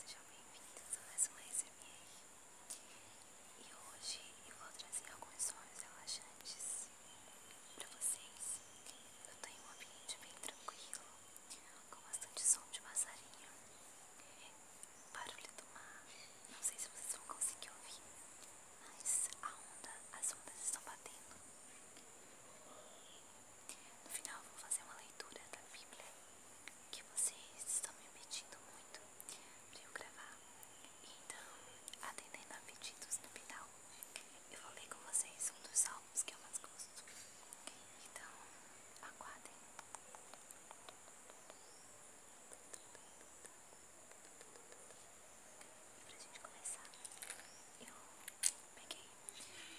sejam bem-vindos a mais uma SMR E hoje eu vou trazer alguns sonhos relaxantes para vocês Eu estou em um ambiente bem tranquilo Com bastante som de passarinho Barulho do mar Não sei se vocês vão conseguir ouvir Mas a onda, as ondas estão batendo no final eu vou fazer uma leitura da Bíblia que vocês estão me pedindo muito para eu gravar. Então, atendendo a pedidos no final, eu vou ler com vocês um dos salmos que eu mais gosto. Então, aguardem. E a gente começar, eu Peguei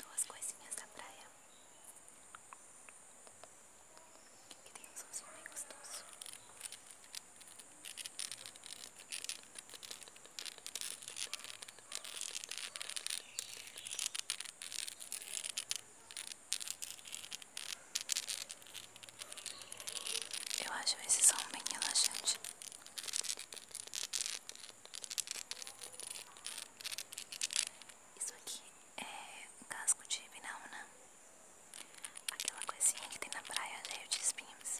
duas coisinhas da praia. Que tem um som bem gostoso. Eu acho esse som bem relaxante. Isso aqui é um casco de vinauna, aquela coisinha que tem na praia cheio de espinhos.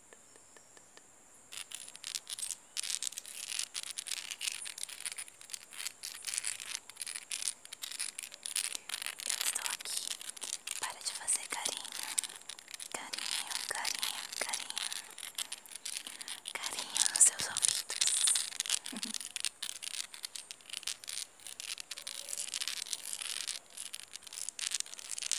Eu estou aqui para te fazer carinho, carinho, carinho, carinho, carinho nos seus ouvidos.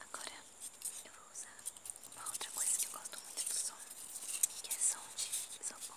Agora eu vou usar uma outra coisa que eu gosto muito do som, que é som de isopor.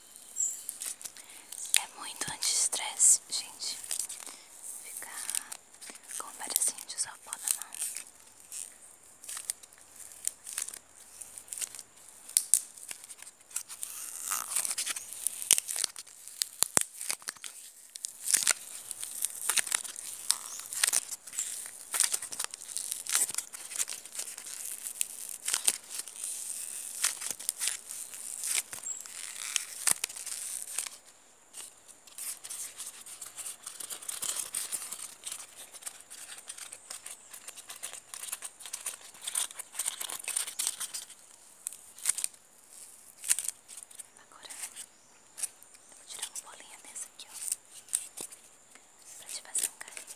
É muito anti-estresse, gente. Ficar com um pedacinho de isopor na mão. Agora eu vou tirar uma bolinha dessa aqui, ó, pra te fazer um carinho.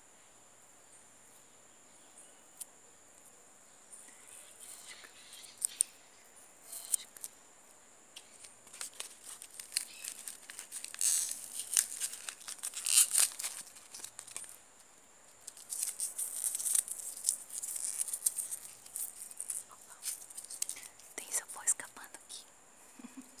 Opa, tem isopor escapando aqui.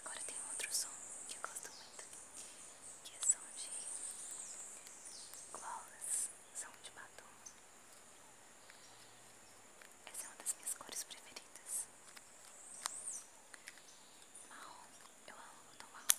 Agora tem um outro som que eu gosto muito, que é som de gloss, som de batom. Essa é uma das minhas cores preferidas. Marrom, eu amo tom marrom.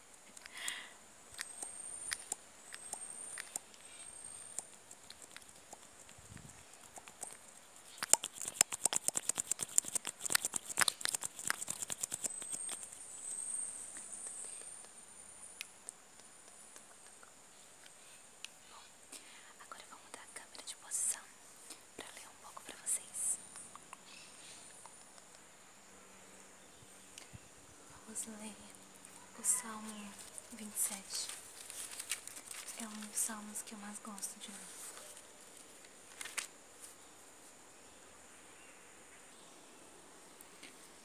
Bom, agora vamos vou mudar a câmera de posição para ler um pouco para vocês. Vamos ler o Salmo 27. É um dos salmos que eu mais gosto de ler.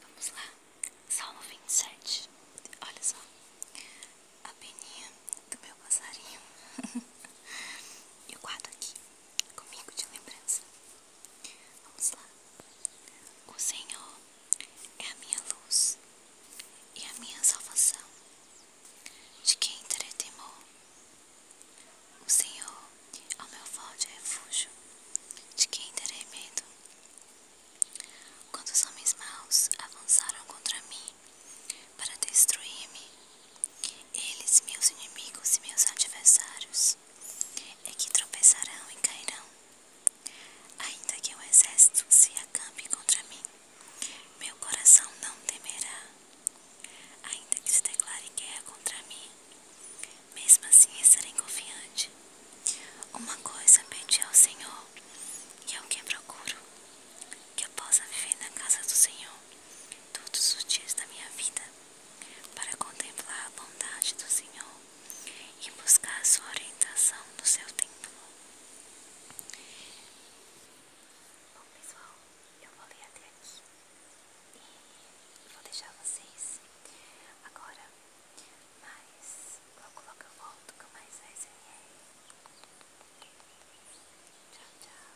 Vamos lá, Salmo 27. Olha só, a peninha do meu passarinho. Eu guardo aqui comigo de lembrança. Vamos lá. O Senhor é a minha luz e a minha salvação. De quem terei temor? O Senhor é o meu forte refúgio. De quem terei medo? Quando os homens maus avançaram contra mim para destruir-me, eles, meus inimigos e meus adversários, e é que tropeçarão e cairão. Ainda que o exército se acampe contra mim, meu coração não temerá. Ainda que se declare guerra contra mim, mesmo assim estarei confiante. Uma coisa pedi ao Senhor, e é o que procuro: que eu possa viver na casa do Senhor todos os dias da minha vida para contemplar a bondade do Senhor e buscar a sua orientação no seu templo. Bom, pessoal, eu vou ler até aqui e vou deixar vocês agora, mas logo logo eu volto com mais ASMR. Tchau, tchau.